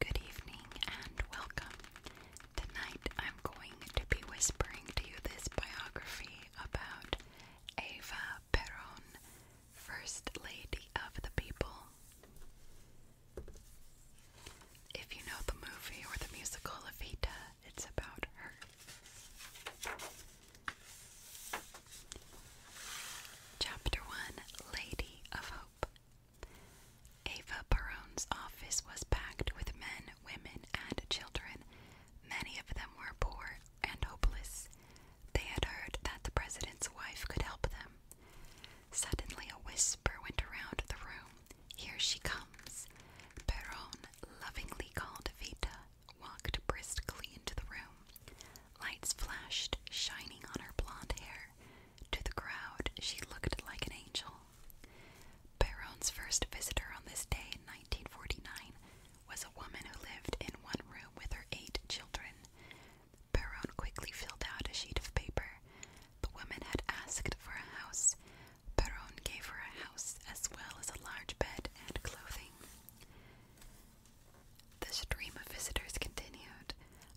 Good evening and welcome. Tonight I'm going to be whispering to you this biography about Eva Perón, First Lady of the People. If you know the movie or the musical Evita, it's about her. Chapter 1 Lady of Hope. Ava Perone's office was packed with men, women, and children. Many of them were poor and hopeless. They had heard that the president's wife could help them. Suddenly, a whisper went around the room here she comes. Perron, lovingly called Vita, walked briskly into the room. Lights flashed, shining on her blonde hair. To the crowd, she looked like an angel. Perron's first visitor on this day 1949 was a woman who lived in one room with her eight children. Perron quickly filled out a sheet of paper. The woman had asked for a house, Perron gave her a house as well as a large bed and clothing. The stream of visitors continued.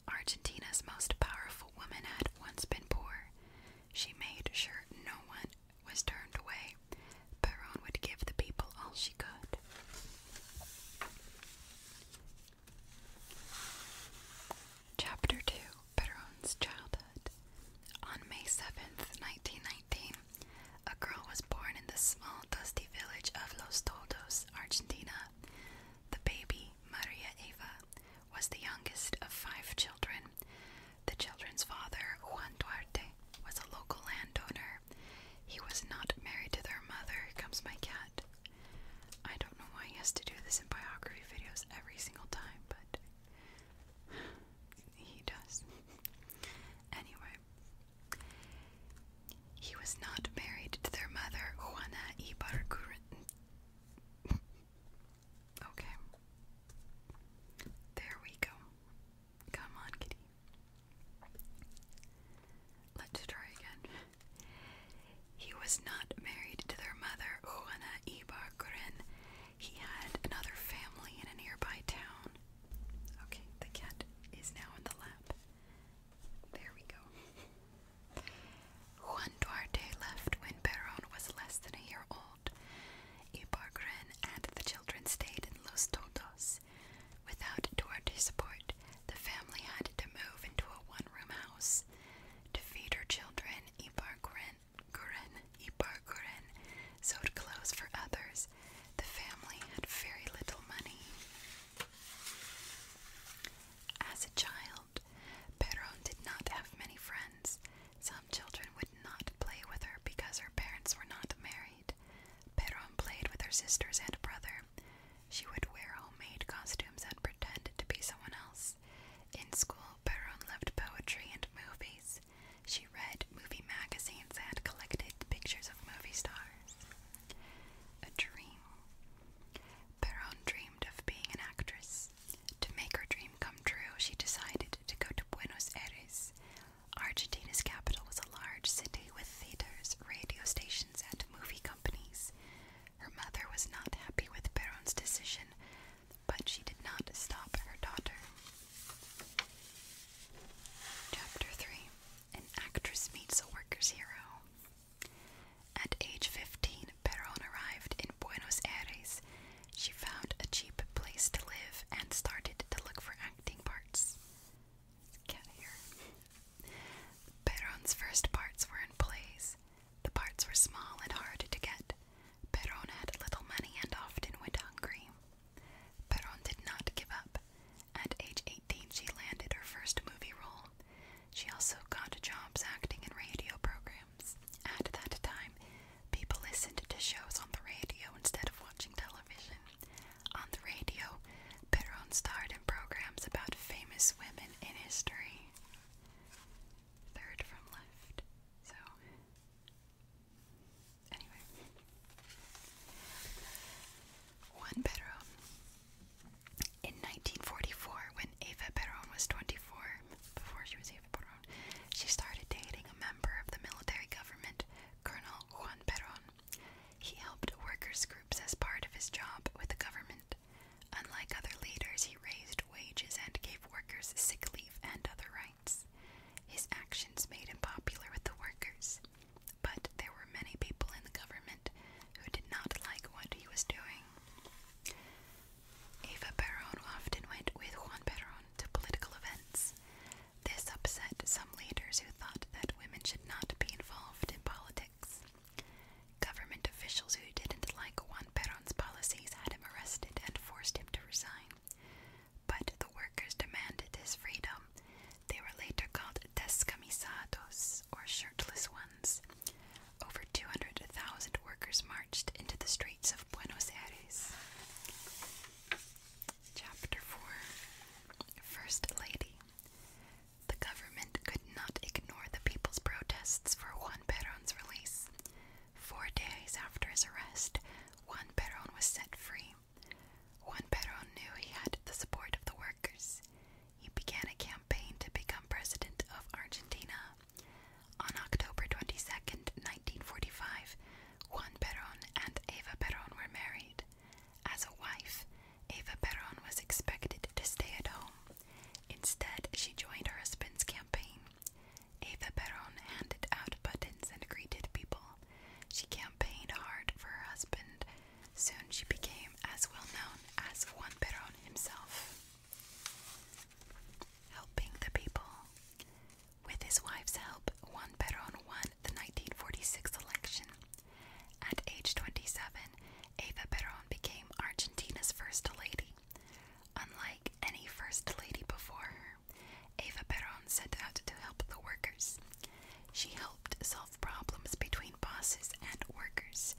Argentina's most powerful woman had once been poor. She made sure no one was turned away. Perron would give the people all she could. Chapter 2 Perron's childhood. On May 7th, 1919, a girl was born in the small, dusty village of Los Toldos, Argentina. The baby, Maria Eva, was the youngest of five children. The children's father, Juan Duarte, was a local landowner. He was not married to their mother. comes my cat. I don't know why he has to do this in biography videos every single time, but he does. anyway, he was not married to their mother, Juana Ibarguren. okay. There we go. Come on, kitty. Let's try again. He was not married to their mother, Juana Ibarguren, he had another family in a nearby town. Okay, the cat is now in the lap. There we go. Juan Duarte left when Perón was less than a year old. Ibargren and the children stayed in Los Toldos. Without Duarte's support, the family had to move into a one room house. To feed her children, Ibargren Guren, Ipar Guren, sewed clothes for others. The family had very little money. As a child, Perón did not have many friends. Some children would not play with her because her parents were not married. Perón played with her sisters and brother. She would wear homemade costumes and pretend to be someone else. In school, Perón loved poetry and movies. She read movie magazines and collected pictures of movie stars. A dream. Perron dreamed of being an actress. To make her dream come true, she decided to go to Buenos Aires. Argentina's capital was a large city with theaters, radio stations, and movie companies. Her mother was not happy with Perron's decision, but she did not stop her daughter. Chapter 3 An Actress Meets a Worker's Hero. At age 15, Perón arrived in Buenos Aires. She found a cheap place to live and started to look for acting parts. Perón's first parts were in plays. The parts were small and hard to get, Perron had little money and often went hungry. Perron did not give up. At age 18, she landed her first movie role. She also got jobs acting in radio programs. At that time, people listened to shows on the radio instead of watching television. On the radio, Perron starred in programs about famous women in history. Third from left. So, Anyway, one In 1944, when Eva Perón was 24, before she was Eva Perón, she started dating a member of the military government, Colonel Juan Perón. He helped workers' groups as part of his job with the government. Unlike other leaders, he raised wages and gave workers sick leave and other rights. His actions made him popular with the workers, but there were many people in the government who did not like what he was doing. Eva Perón often went with Juan Perón to political events. This upset some leaders who thought that women should not be involved in politics. Government officials who didn't like Juan Perón's policies had him arrested and forced him to resign. But the workers demanded this freedom. They were later called descamisados, or shirtless ones. Over 200,000 workers marched into the streets of Buenos Aires. Chapter 4 First Lady The government could not ignore the people's protests for Juan Perón's release. Four days after his arrest, Juan Perón was set free. Juan Perón knew he had the support of the workers. He began a campaign to become president of Argentina. On October 22, 1945, Juan Perón and Eva Perón were married. As a wife, Eva Perón was expected to stay at home. Instead, she joined her husband's campaign. Eva Perón handed out buttons and greeted people. She campaigned hard for her husband. Soon she became as well known as Juan Perón himself. Helping the people. With his wife's help, Juan Perón won the 1946 election. At age 27, Eva Perón became Argentina's first lady. Unlike any first lady before her, Eva Perón set out to help the workers. She helped solve problems between bosses and workers.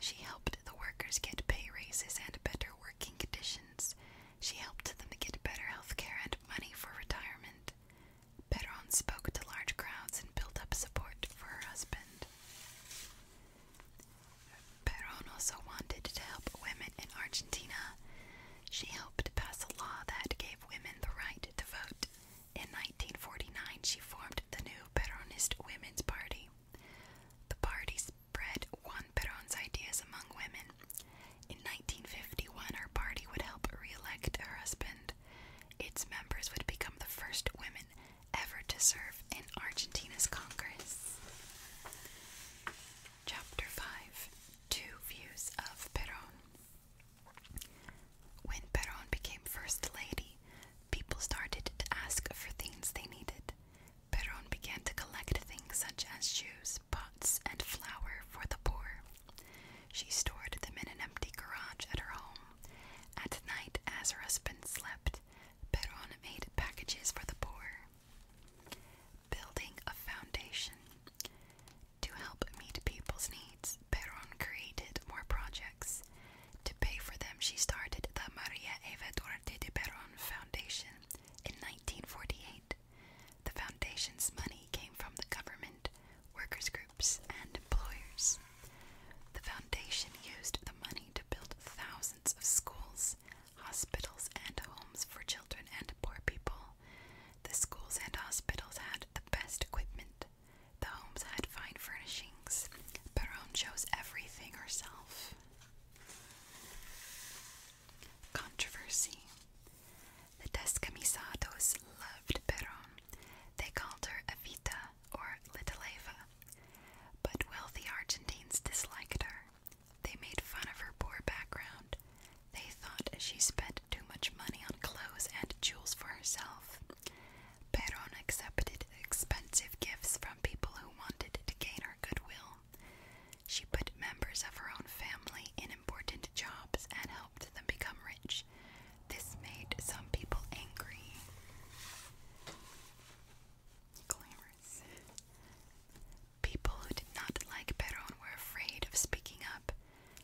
She helped the workers get pay raises and better working conditions. She helped them get better health care and money for retirement. Perón spoke to large crowds and built up support for her husband. Perón also wanted to help women in Argentina. She helped pass a law that gave women the right to vote. In 1949, she formed the new Peronist Women's Party. The party spread Juan Perón's ideas among women. In 1951, her party would help re-elect her husband. Its members would become the first women ever to serve in Argentina's Congress. Chapter 5 Two Views of Perón. When Perón became First Lady, people started to ask for things they needed. Perón began to collect things such as shoes, pots, and flour for the poor. She stored them in an empty garage at her home. At night, as her husband slept, Perón made packages for the poor. Building a foundation to help meet people's needs, Perón created more projects. To pay for them, she started the Maria Eva Duarte de Perón Foundation in 1948. The foundation's money came from the government, workers' groups, and employers. The foundation used the money to build thousands of schools hospitals and homes for children and poor people. The schools and hospitals had the best equipment. The homes had fine furnishings. Perron chose everything herself. Controversy. The Descamisados loved Perón. They called her Evita or Little Eva. But wealthy Argentines disliked her. They made fun of her poor background. They thought she spent too much money on clothes and jewels for herself. Perón accepted expensive gifts from people who wanted to gain her goodwill. She put members of her own family in important jobs and helped them become rich. This made some people angry. Glamorous. People who did not like Perón were afraid of speaking up.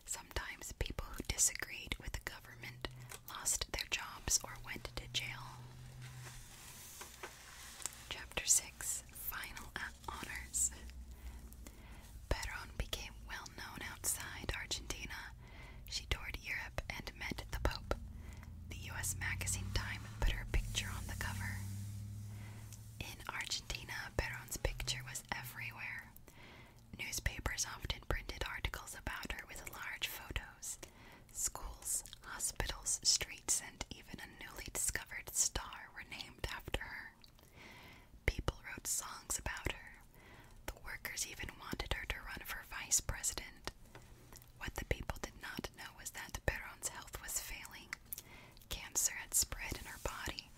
Sometimes people who disagreed with the government lost their jobs or went to jail. Chapter 6 Final Honors Perón became well known outside Argentina. She toured Europe and met the Pope. The U.S. magazine Time put her picture on the cover. In Argentina, Perón's picture was everywhere. Newspapers often printed articles about her with large photos. Schools, hospitals, streets, and even a newly discovered star were named after her. People wrote songs about her. The workers even wanted her to run for vice president. What the people did not know was that Perón's health was failing. Cancer had spread in her body.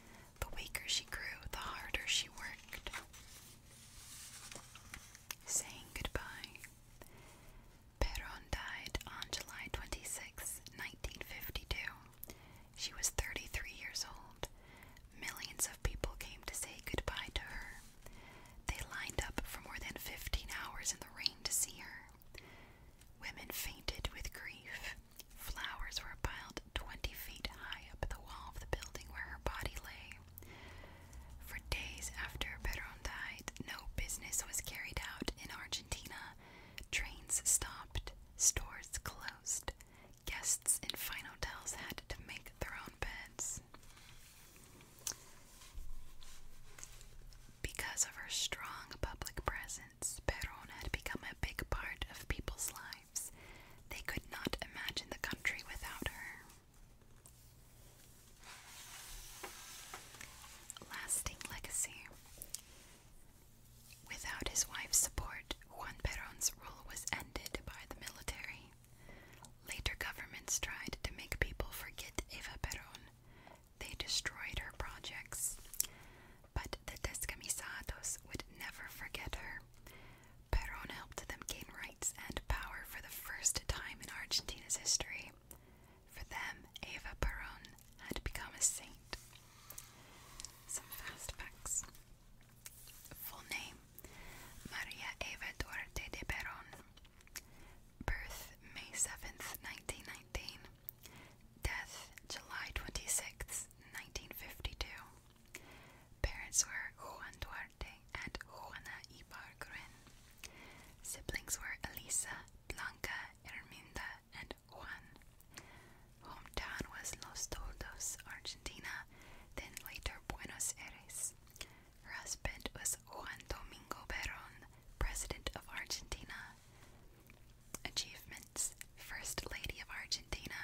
The weaker she grew, the harder she worked. Saying goodbye. Perón died on July 26, She was 33 years old. Millions of people came to say goodbye to her. They lined up for more than 15 hours in the rain to see her. Women fainted with grief. Flowers were piled 20 feet high up the wall of the building where her body lay. For days after Perón died, no business was carried out in Argentina. Trains stopped, stores closed, guests in fine hotels had to make their own beds. Because of her strong public presence, Perón had become a big part of people's lives. They could not imagine the country without her. Lasting legacy. Without his wife's support, Juan Perón's rule was ended by the military. Later governments tried to make people forget Eva Perón, they destroyed her projects. But the Descamisados would never forget her. Perón helped them gain rights and power for the first time in Argentina's history. For them, Eva Perón had become a saint. Some fast facts. Full name Maria Eva Duarte de Perón. Birth May 7th, 1919. Death, July 26, 1952. Parents were Juan Duarte and Juana Ibarguen. Siblings were Elisa, Blanca, Herminda, and Juan. Hometown was Los Toldos, Argentina, then later Buenos Aires. Her husband was Juan Domingo Perón, President of Argentina. Achievements First Lady of Argentina,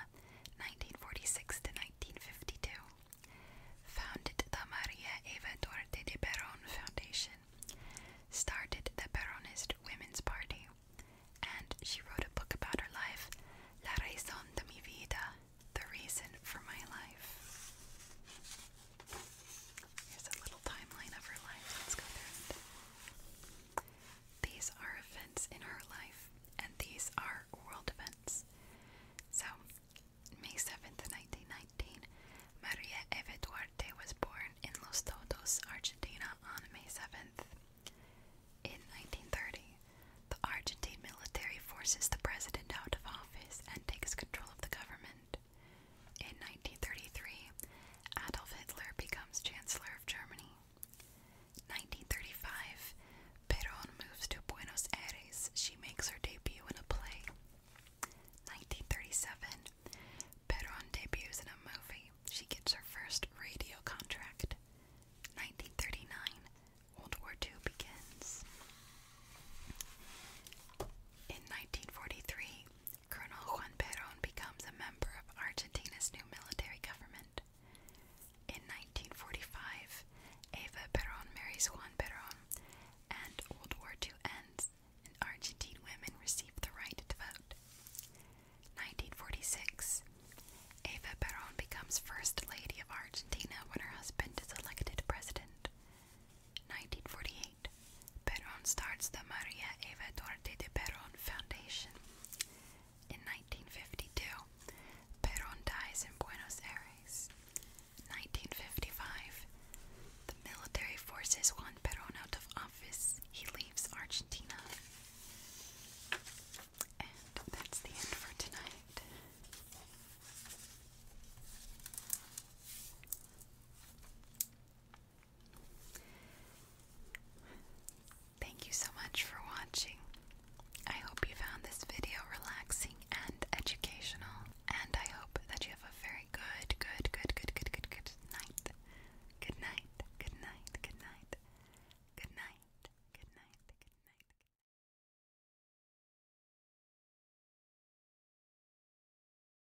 1946 to 1952. Founded the Maria Eva Duarte de Perón Foundation. Started the Peronist Women's Party. And she wrote a book about her life, La Raison de mi Vida, The Reason for My Life. Here's a little timeline of her life. Let's go through it. These are events in her life, and these are world events. So, May 7th, 1919, Maria Eva Duarte was born in Los Todos, Argentina on May 7th. In 1930, the Argentine military forces the president out of office and takes control of the government. In 1933, Adolf Hitler becomes Chancellor of Germany. 1935, Perón moves to Buenos Aires. She makes her debut in a play. 1937, Perón debuts in a movie. She gets her first radio contract. 1939, World War II begins. In 1943, Colonel Juan Perón becomes a member of Argentina's new military government. In 1945, Eva Perón marries Juan Perón, and World War II ends, and Argentine women receive the right to vote. 1946, Eva Perón becomes First Lady of Argentina when her husband is elected president. 1948, Perón starts the Maria Eva Duarte de Perón Foundation. In 1952, Perón dies in Buenos Aires. 1955, the military forces want Perón out of office. He leaves Argentina. And that's the end for tonight. Thank you so much for watching. I hope you found this video relaxing and educational, and I hope that you have a very good, good, good, good, good, good, good night. Good night, good night, good night, good night, good night, good night.